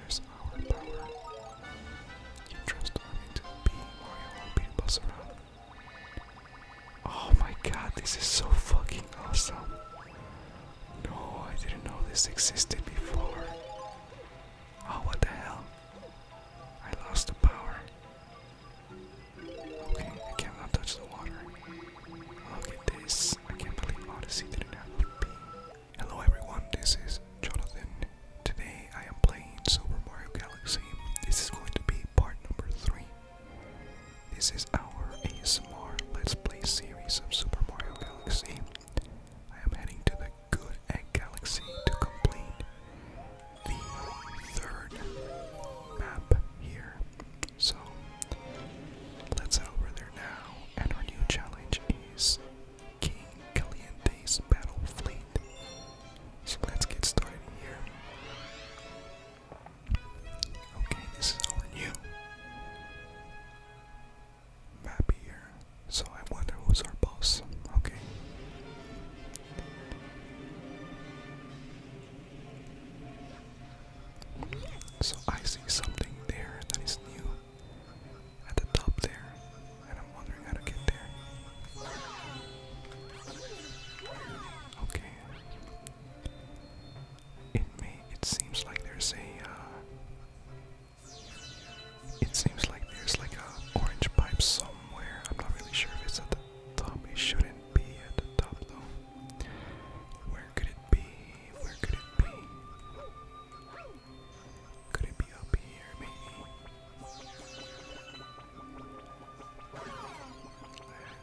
There's our power. You trust Army to be Mario will beat us around. Oh my god, this is so fucking awesome. No, I didn't know this existed before. Oh, what the hell? I lost the power. Okay, I cannot touch the water. Look at this. I can't believe Odyssey didn't have a beam. Hello everyone, this is Jonathan. Today I am playing Super Mario Galaxy. This is going to be part number 3. This is our ASMR Let's Play series of Super Mario Galaxy. I am heading to the Good Egg Galaxy to complete the third map here. So, let's head over there now, and our new challenge is King Caliente's battle fleet. So let's get started here. Okay, this is our new map here. So I wonder who's our boss. Okay. So I see something there that is new at the top there, and I'm wondering how to get there. Okay. It may. It seems like there's a. Uh, it seems like there's like a orange pipe somewhere. I'm not really sure if it's at the top. It shouldn't be at the top though. Where could it be? Where could it be? Could it be up here, maybe?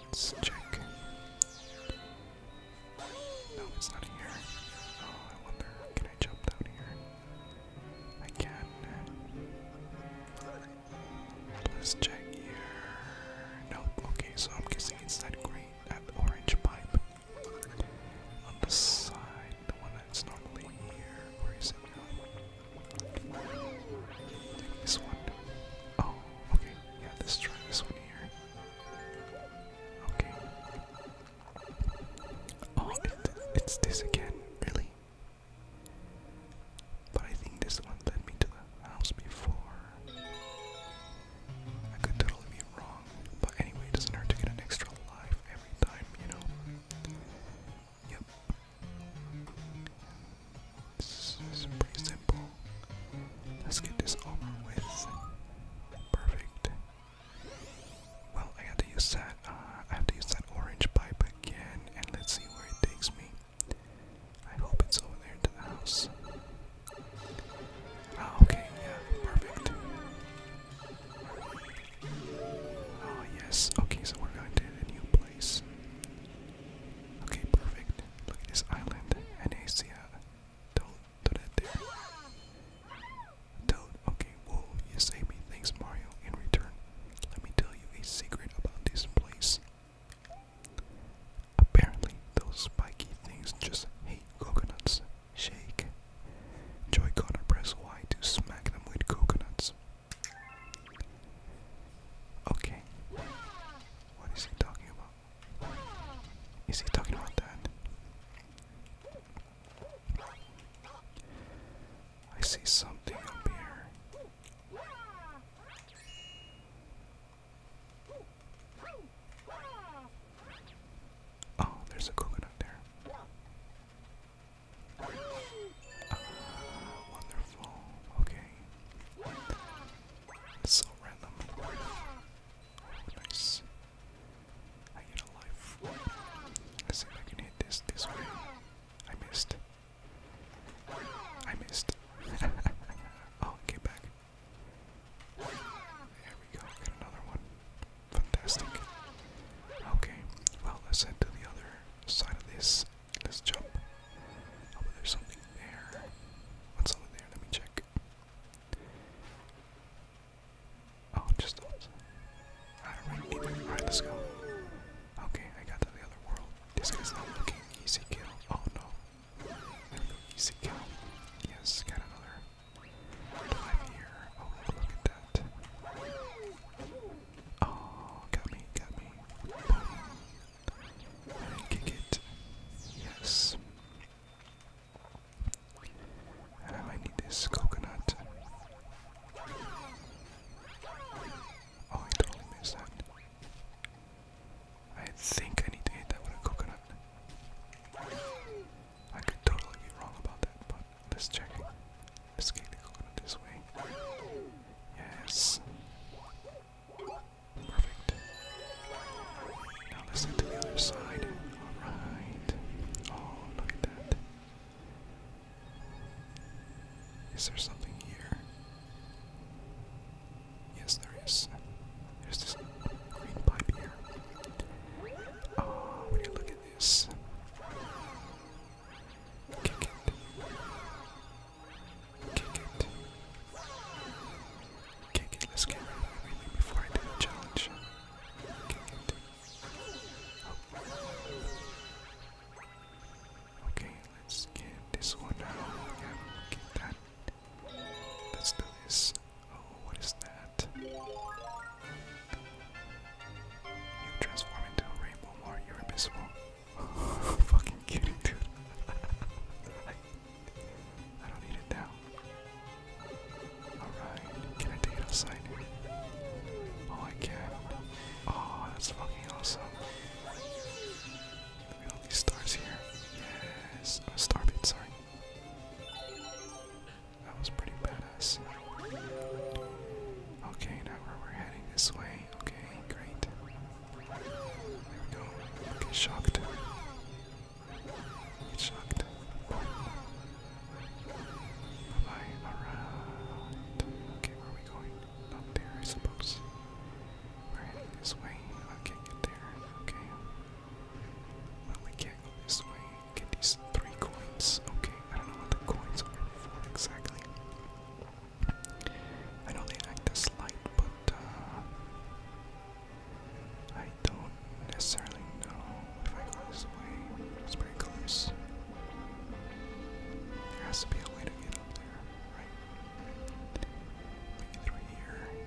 Let's check. No, it's not here. Oh, I wonder, can I jump down here? I can. Let's check here. Nope, okay, so I'm guessing it's that green, that orange pipe on the side, the one that's normally here. Where is it now? This one. Oh, okay. Yeah, let's try this one here. Okay. Oh, it's this again, really? But I think this one led me to the house before. I could totally be wrong, but anyway, it doesn't hurt to get an extra life every time, you know? Yep. This is pretty simple. Let's get this over with. Perfect. Well, I have to use that. Uh, I have to use that orange pipe again, and let's see where it takes me. I hope it's over there to the house. Oh, okay, yeah, perfect. Oh, yes, okay, so we're going to a new place. Okay, perfect. Look at this island, Anacia. Don't do that there. Toad, okay, Well, you saved me. Thanks, Mario. In return, let me tell you a secret about this place. Apparently, those spiky things just hate coconuts. Shake. Joy-Con and press Y to smack them with coconuts. Okay. What is he talking about? Is he talking about that? I see something up here. Oh, there's a coconut there. wonderful. Okay. so random. nice. I get a life. Let's see if this this way. I missed. I missed. oh, get back. There we go, get another one. Fantastic. Okay, well let's head to the other side of this. Let's jump. Oh, there's something there. What's over there? Let me check. Oh, just those. Alright, let's go. Okay, I got to the other world. This guy's looking easy kill. Oh no. There we easy kill. Yes, got another Oh, look, at that. Oh, got me, got me. kick it. Yes. Oh, and all need is coconut. Oh, I totally missed that. I think I need to hit that with a coconut. I could totally be wrong about that, but let's check. Let's get the coconut this way. Yes. Perfect. Now let's head to the other side. Alright. Oh, look at that. Is there something here? Yes, there is. There's this green pipe here. Oh, look at this. Kick it. Kick it. Kick it. Let's get rid of everything before I do the challenge. Okay, let's get this one out. Yeah, get that. Let's do this. Oh, what is that? You transform into a rainbow you Mario Abyssal. Fucking kidding, dude. I, don't need it now. Alright, can I take it outside? Oh, I can. Oh, that's fucking awesome. Look at all these stars here. Yes, oh, star bit, sorry. That was pretty badass. Okay, now where we're heading this way. Okay, great. There we go. shocked. shocked. Boom. Bye-bye. Okay, where we going? Up there, I suppose. We're heading this way. I get there. Okay we can't go this way. Get these three coins. Okay, I don't know what the coins are for exactly. I know they act as light, but uh, I don't necessarily know if I go this way. It's pretty close. There has to be a way to get up there, right? Maybe through here.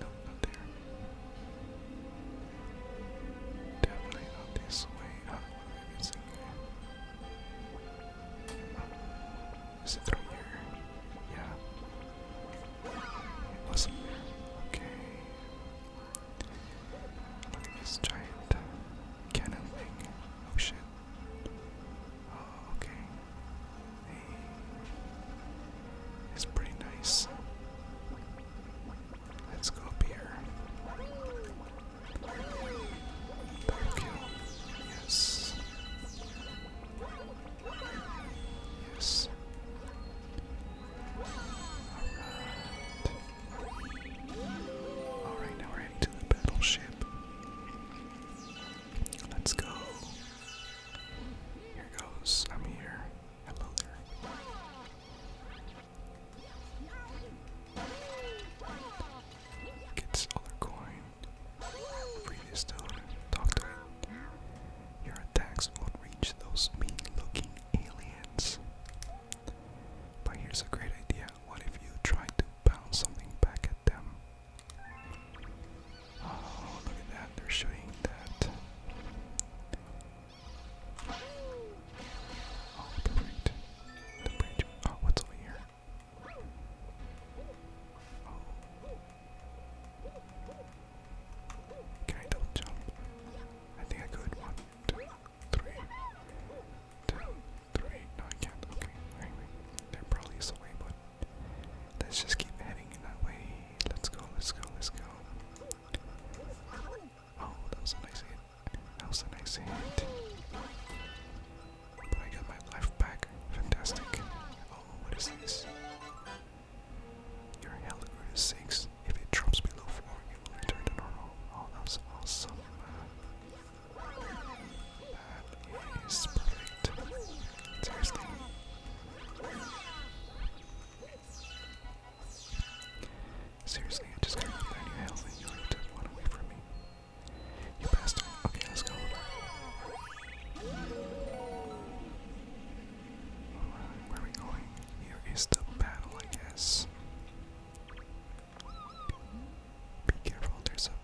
No, not there. Definitely not this way. Oh, uh, maybe it's in it through here? Yeah. wasn't there. Okay. this giant cannon thing. Oh shit. Oh, okay. It's pretty nice. Let's go up here. Double kill. Yes. Yes. Alright. Alright, now we're heading to the battleship. Let's go. Here goes. I'm here. Hello there. Gets other coin. Previous stone. Talk to it. Your attacks won't reach those mean-looking aliens. But here's a great idea. What if you try to bounce something back at Oh, look at that, they're showing that. Oh, perfect. The bridge. Oh, what's over here? Oh. Can I jump? I think I could. One, two, three. Two, three. No, I can't. Okay, anyway. There probably is way, but Let's just keep heading that way. Let's go, let's go, let's go. Oh, that was a nice hit. That was a nice hit. But I got my life back. Fantastic. Oh, what is this? Your health grew to 6. If it drops below 4, it will return to normal. Oh, that was awesome. That is perfect. Seriously. I just got down your health and you already took one away from me. You bastard. Okay, let's go. Alright, where are we going? Here is the battle, I guess. Be careful, there's a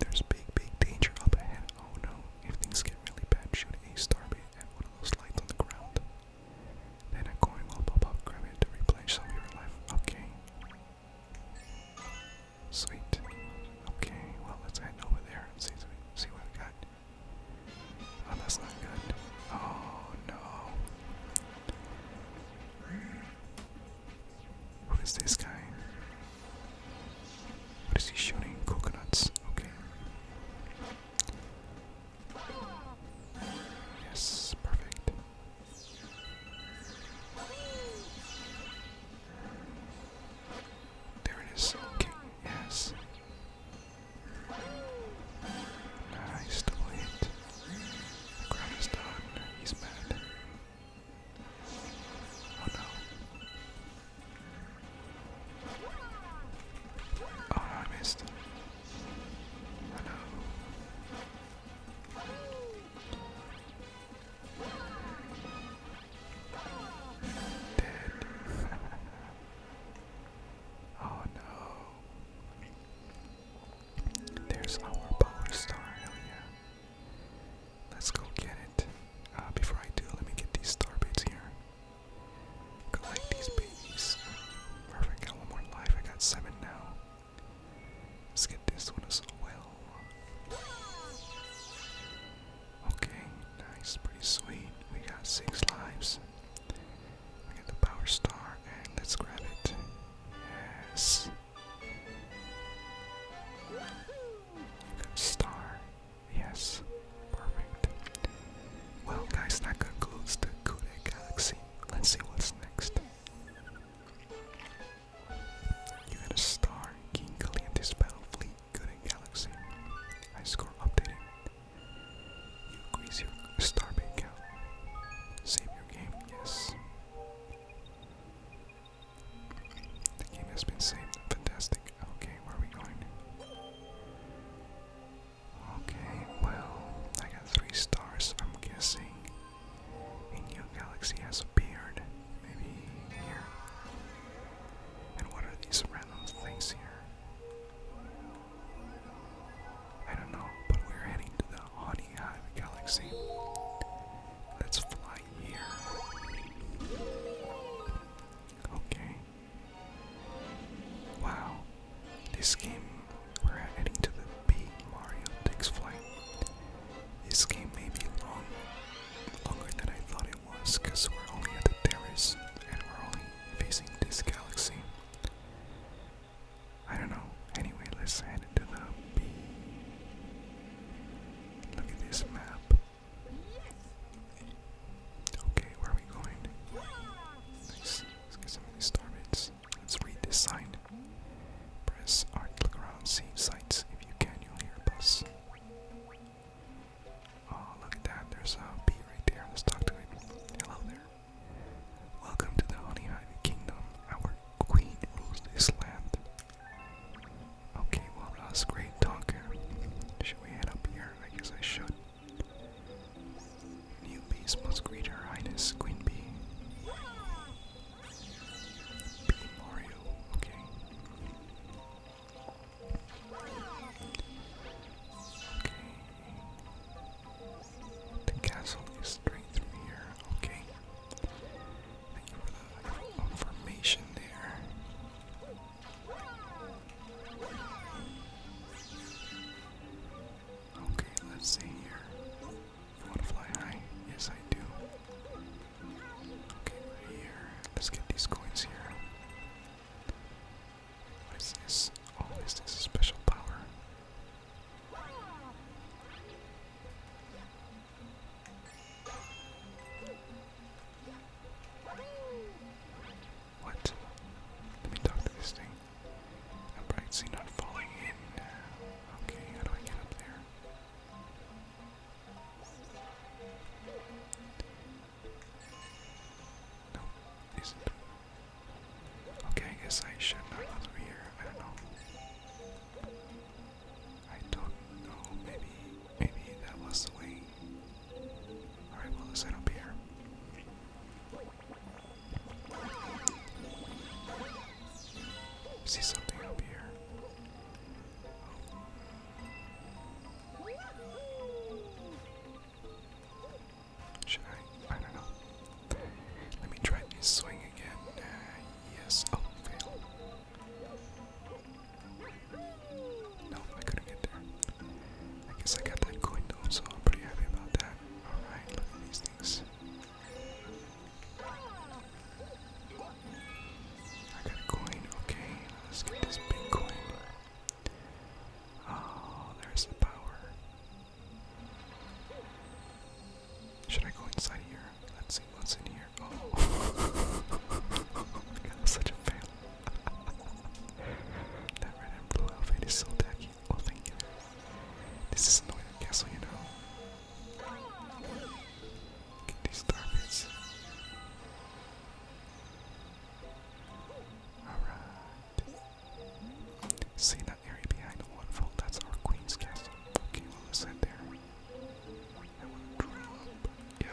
there's big, big danger up ahead. Oh no, if things get really bad, shoot a starbait at one of those lights on the ground. Then a coin will pop up, grab it to replenish some of your life. Okay. Sweet. Okay, well, let's head over there and see, see what we got. Oh, that's not good. Oh no. Who is this guy? What is he shooting? Coconuts. Okay. Yes, perfect. There it is. Okay, yes. Nice double hit. The ground is done. He's mad. Oh no. Oh no, I missed. Oh no. Dead. oh no. There's our power star, hell Let's go get it. Uh, before I do, let me get these star baits here. Collect these babies. Perfect, got one more life. I got seven now. Let's get this one as well. Okay, nice, pretty sweet. We got six lives. We got the power star, and let's grab it. Yes. Star. Yes. Perfect. Well, guys, that concludes the Kude Galaxy. Let's see what's next. You get a star, King Galeantis Battle Fleet, Kude Galaxy. High score updated. You increase your star bank Save your game, yes. The game has been saved. Fantastic. Okay, where are we going? Okay, well, I got three stars, I'm guessing. A new galaxy has appeared. Maybe here. And what are these random things here? I don't know, but we're heading to the Honey Hive Galaxy. Let's fly here. Okay. Wow. This game, we're heading to the big Mario takes flight. This game may be long, longer than I thought it was, because we're only at the terrace and we're only facing this galaxy. I don't know. Anyway, let's head into the B. Look at this map. Okay, where are we going? Nice. Let's get some of these Let's read this sign. Press art, look around, see sights. If you can, you'll hear a bus. Oh, look at that. There's a bee right there. Let's talk to it. Hello there. Welcome to the Honey Kingdom. Our queen rules this land. Okay, well, I'm a great talker. Should we head up here? I guess I should. New must greet her highness, Queen Bee. Bee Mario, okay. Okay. The castle is straight through here, okay. Thank Okay, let's see here. You high? Yes, I do. Okay, right here. Let's get these coins here. What is this? Oh, is this a special power? What? Let me talk to this thing. I'm not falling in. Okay, how do I get up there? No, it isn't. Okay, I guess I should not go here. I don't know. I don't know. Maybe, maybe that was the way. All right, well, let's head up here. See something up here. Should I? I don't know. Let me try this swing again. Uh, yes. Oh, fail. No, I couldn't get there. I guess I got that coin though, so I'm pretty happy about that. Alright, look at these things. I got a coin, okay. Let's get this big coin. Oh, there's the power. Should I go inside here? Let's see what's in here. Oh, such a fail. that red and blue outfit is so tacky. Oh, thank you. This is annoying castle, you know. Get these targets. Alright. See that area behind the waterfall? That's our queen's castle. Okay, well, let's there. Yeah,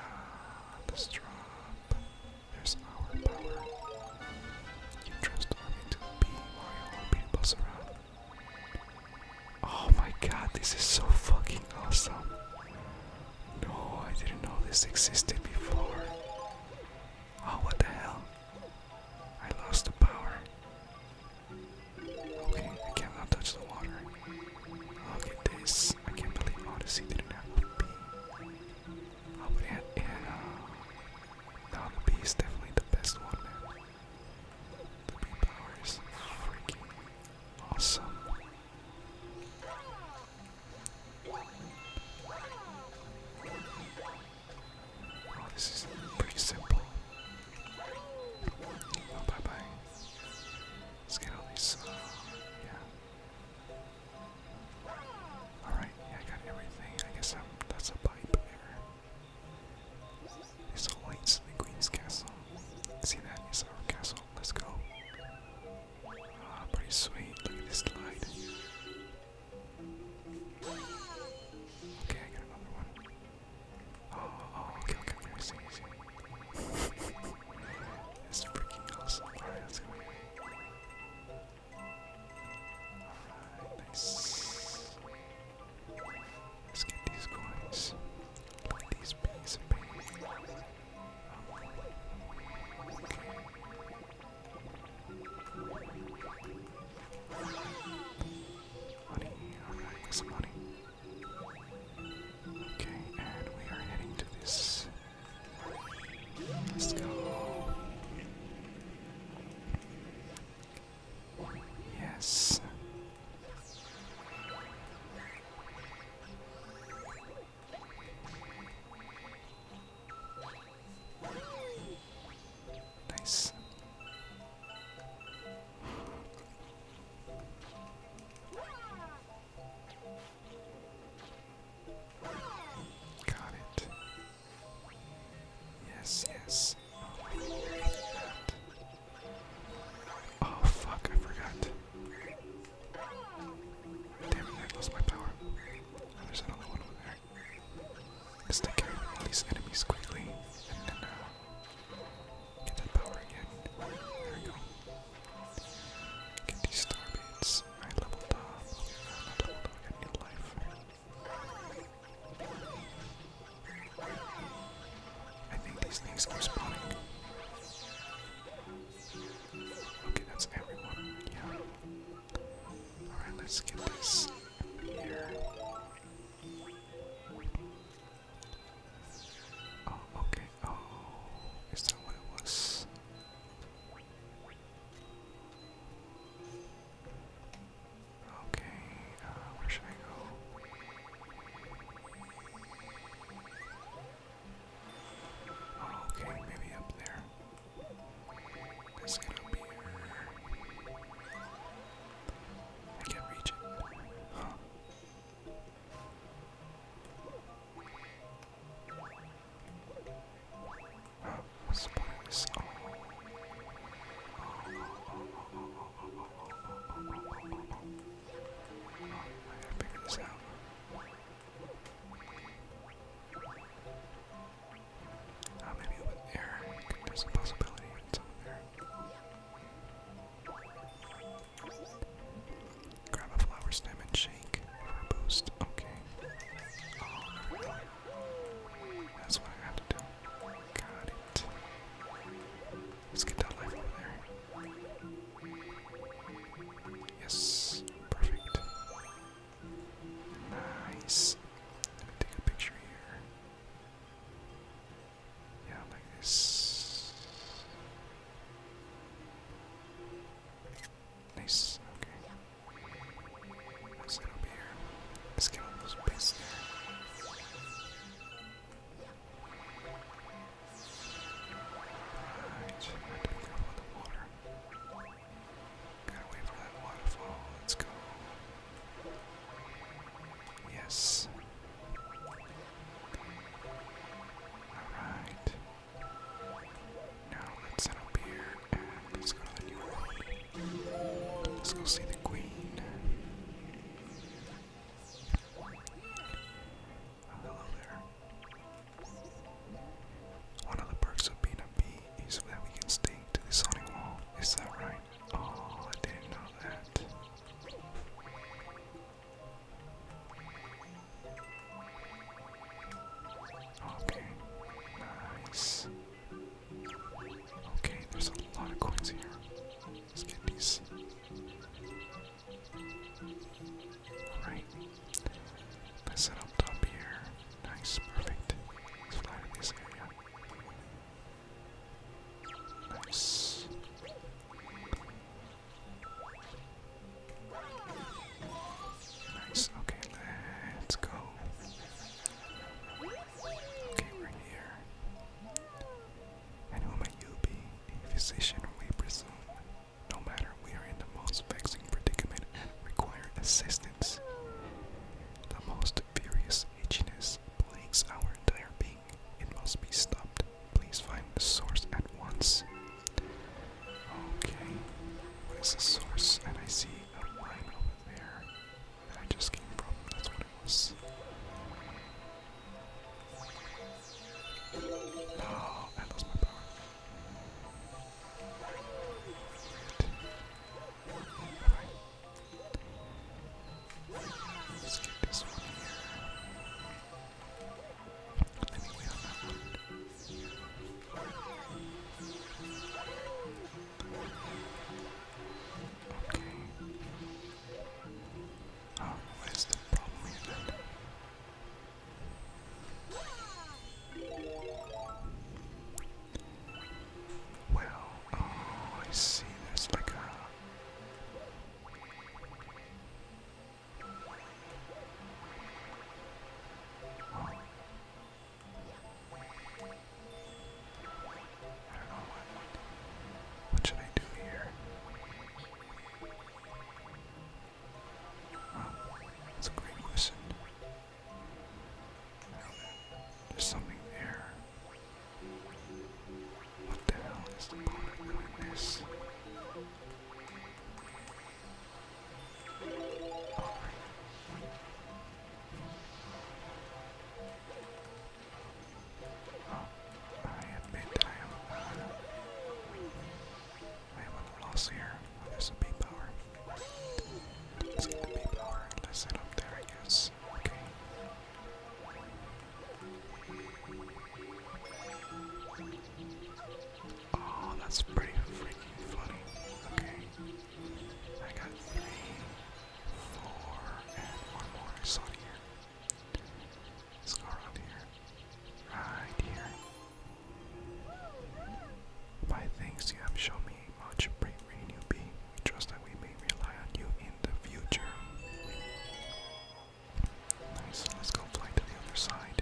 let's There's our power. You trust Army to be Mario beat the around. Oh my god, this is so fucking awesome. No, I didn't know this existed before. Oh, what the hell? I lost the power. Okay, I cannot touch the water. Look at this. I can't believe Odyssey didn't have a bee. Oh, but it it had uh, the bee is definitely the best one, man. The bee power freaking awesome. Oh, this is pretty simple. Oh, bye bye. Let's get all these. Uh, yeah. Alright, I got everything. I guess that's a pipe error. lights in the Queen's Castle. See that? It's our castle. Let's go. Ah, pretty sweet. Look at this light. Okay, I got another one. Oh, oh, okay, okay, okay, I see, I see. It's freaking awesome. Alright, let's go. Alright, nice. Let's get these coins. Look these piece Money, alright, some money. Okay, and we are heading to this. Let's go. Yes. Nice. Got it. Yes, yes. Oh, fuck, I forgot. Damn it, I lost my power. there's another one over there. Let's take all these enemies quickly. Get that power again. There we go. Get these star I leveled up. i leveled up, I need life. I think these things keep spawning. Okay, that's everyone. Yeah. Alright, let's get this here. Oh, okay. Oh, is that what it was? Okay, uh, where should I go? okay, maybe up there. Let's get up here. I can't reach it. Huh. Oh, ah, what's the place? I gotta figure this out. Uh, maybe over there. There's a possibility it's over there. Grab a flower stem and shake for boost. Okay. Oh, that's what I have to do. Got it. Let's get that life there. Yes. Perfect. Nice. Let me take a picture here. Yeah, like this. Nice, okay. Let's get up here. Let's get on those bits Alright, I have to the water. Gotta wait for that waterfall. Let's go. Yes, Alright. Now let's head up here and let's go to the new world. Let's go see the queen. hello oh, there. One of the perks of being a bee is that we can stay to the sonic wall. Is that right? Oh, I didn't know that. Okay, nice. Okay, there's a lot of coins here. Let's get these. Alright. let set up top here. Nice, perfect. Let's fly this area. Nice. Okay, let's go. Okay, we're here. And who might you be? A physician, we presume. No matter, we are in the most vexing predicament and require assistance. The most furious itchiness plagues our entire being. It must be stopped. Please find the source at once. Okay, what is the source? And I see a line over there that I just came from. That's what it was. No, oh, I lost my power. Let's get this one Let me wait that one. Okay. Oh, the problem here then? Well, oh, I see. There's like what. should I do here? that's a great question. There's something there. What the hell is the point of doing this? Oh, I admit I am uh, I am a loss here. Oh, there's a power. Let's get the bee power let's head up there, I Oh, that's pretty freaking funny. Okay. I got three, four, and one more. saw here. Let's go here. Right here. Five things you have shown me. Much brain, brain, you be. We trust that we may rely on you in the future. Nice, let's go fly to the other side.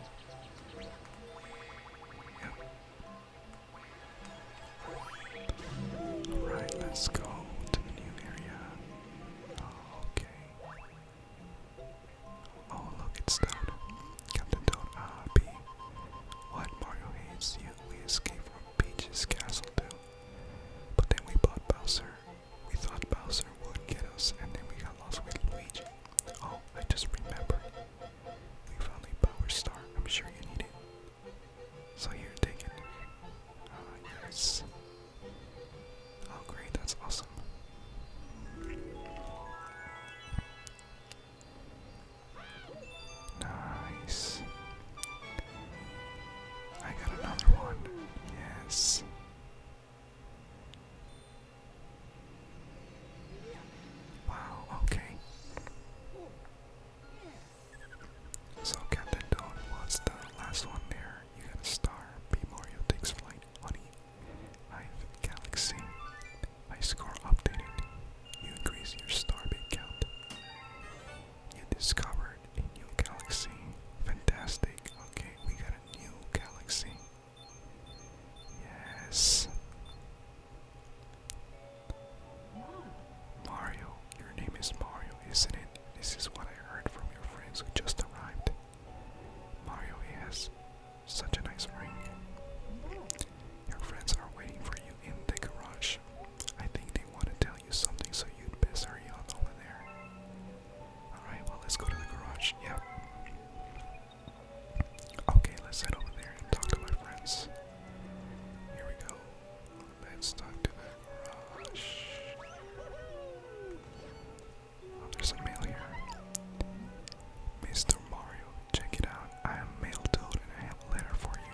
Yep. Alright, let's go to the new area. okay. Oh, look, it's Toad. Captain Toad, ah, What Mario hates you, we escape from Peach's castle too. But then we bought Bowser. We thought Bowser would get us, and then we got lost with Luigi. Oh, I just remember. We found a power star. I'm sure you need it. So here, take it. Ah, yes. Oh, great, that's awesome. Nice. I got another one. Yes. Wow, okay. So Captain Dawn was the last one there. You got a star. B Mario takes flight. Honey. i galaxy. I score updated. You increase your star count. You discover a new galaxy. Fantastic. Okay, we got a new galaxy. Yes. Mario, your name is Mario, isn't it? This is what I heard from your friends who just arrived. Mario, he has such a nice ring. Your friends are waiting for you in the garage. I think they want to tell tell you something, so you'd best hurry on over there. Alright, well, let's go to the garage. Yep. Okay, let's head over there and talk to my friends. Here we go. Let's talk to the garage. Oh, there's a mail here. Mr. Mario, check it out. I am mail and I have a letter for you.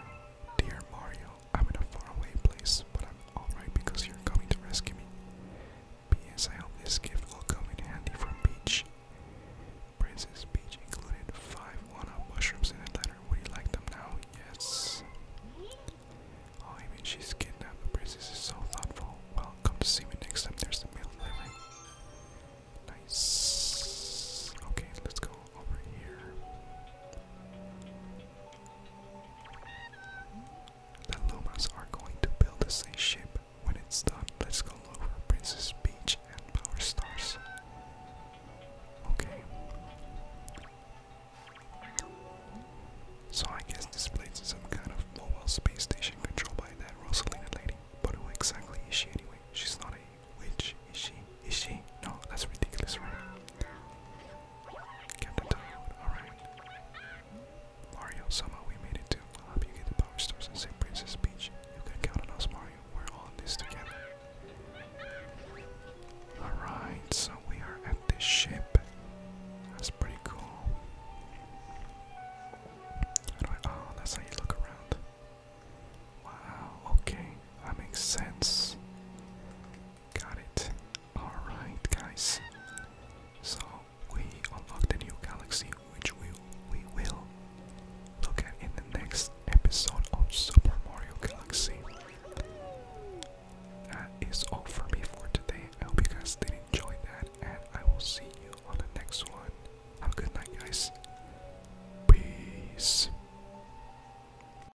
Dear Mario, I'm in a faraway place, but I'm alright because you're coming to rescue me. P.S. I hope this gift will come in handy from Peach. Princess Peach included five one-up mushrooms in a letter. Would you like them now? Yes. Oh, mean, she's kidnapped. The princess is so thoughtful. Welcome to see me next time. There's the mail delivery. Nice. Okay, let's go the Lumas are going to build a ship. When it's done, let's go over Princess Peach and Power Stars. Okay. So I guess this place is some kind of mobile space station controlled by that Rosalina lady. But who exactly is she anyway? She's not a witch, is she? Is she? No, that's ridiculous, right? Captain Tirewood, alright. Mario, somehow we made it too. I'll help you get the power stores and save Princess Peach. You can count on us, Mario. We're all in this together. Alright, so we are at this ship. That's pretty cool. How oh, that's how you look around. Wow, okay. That makes sense. Got it. Alright, guys. So we unlocked a new galaxy, which we, we will look at in the next episode of Super Mario Galaxy. That is all for me for today. I hope you guys did enjoy that, and I will see you on the next one. Have a good night, guys. Peace.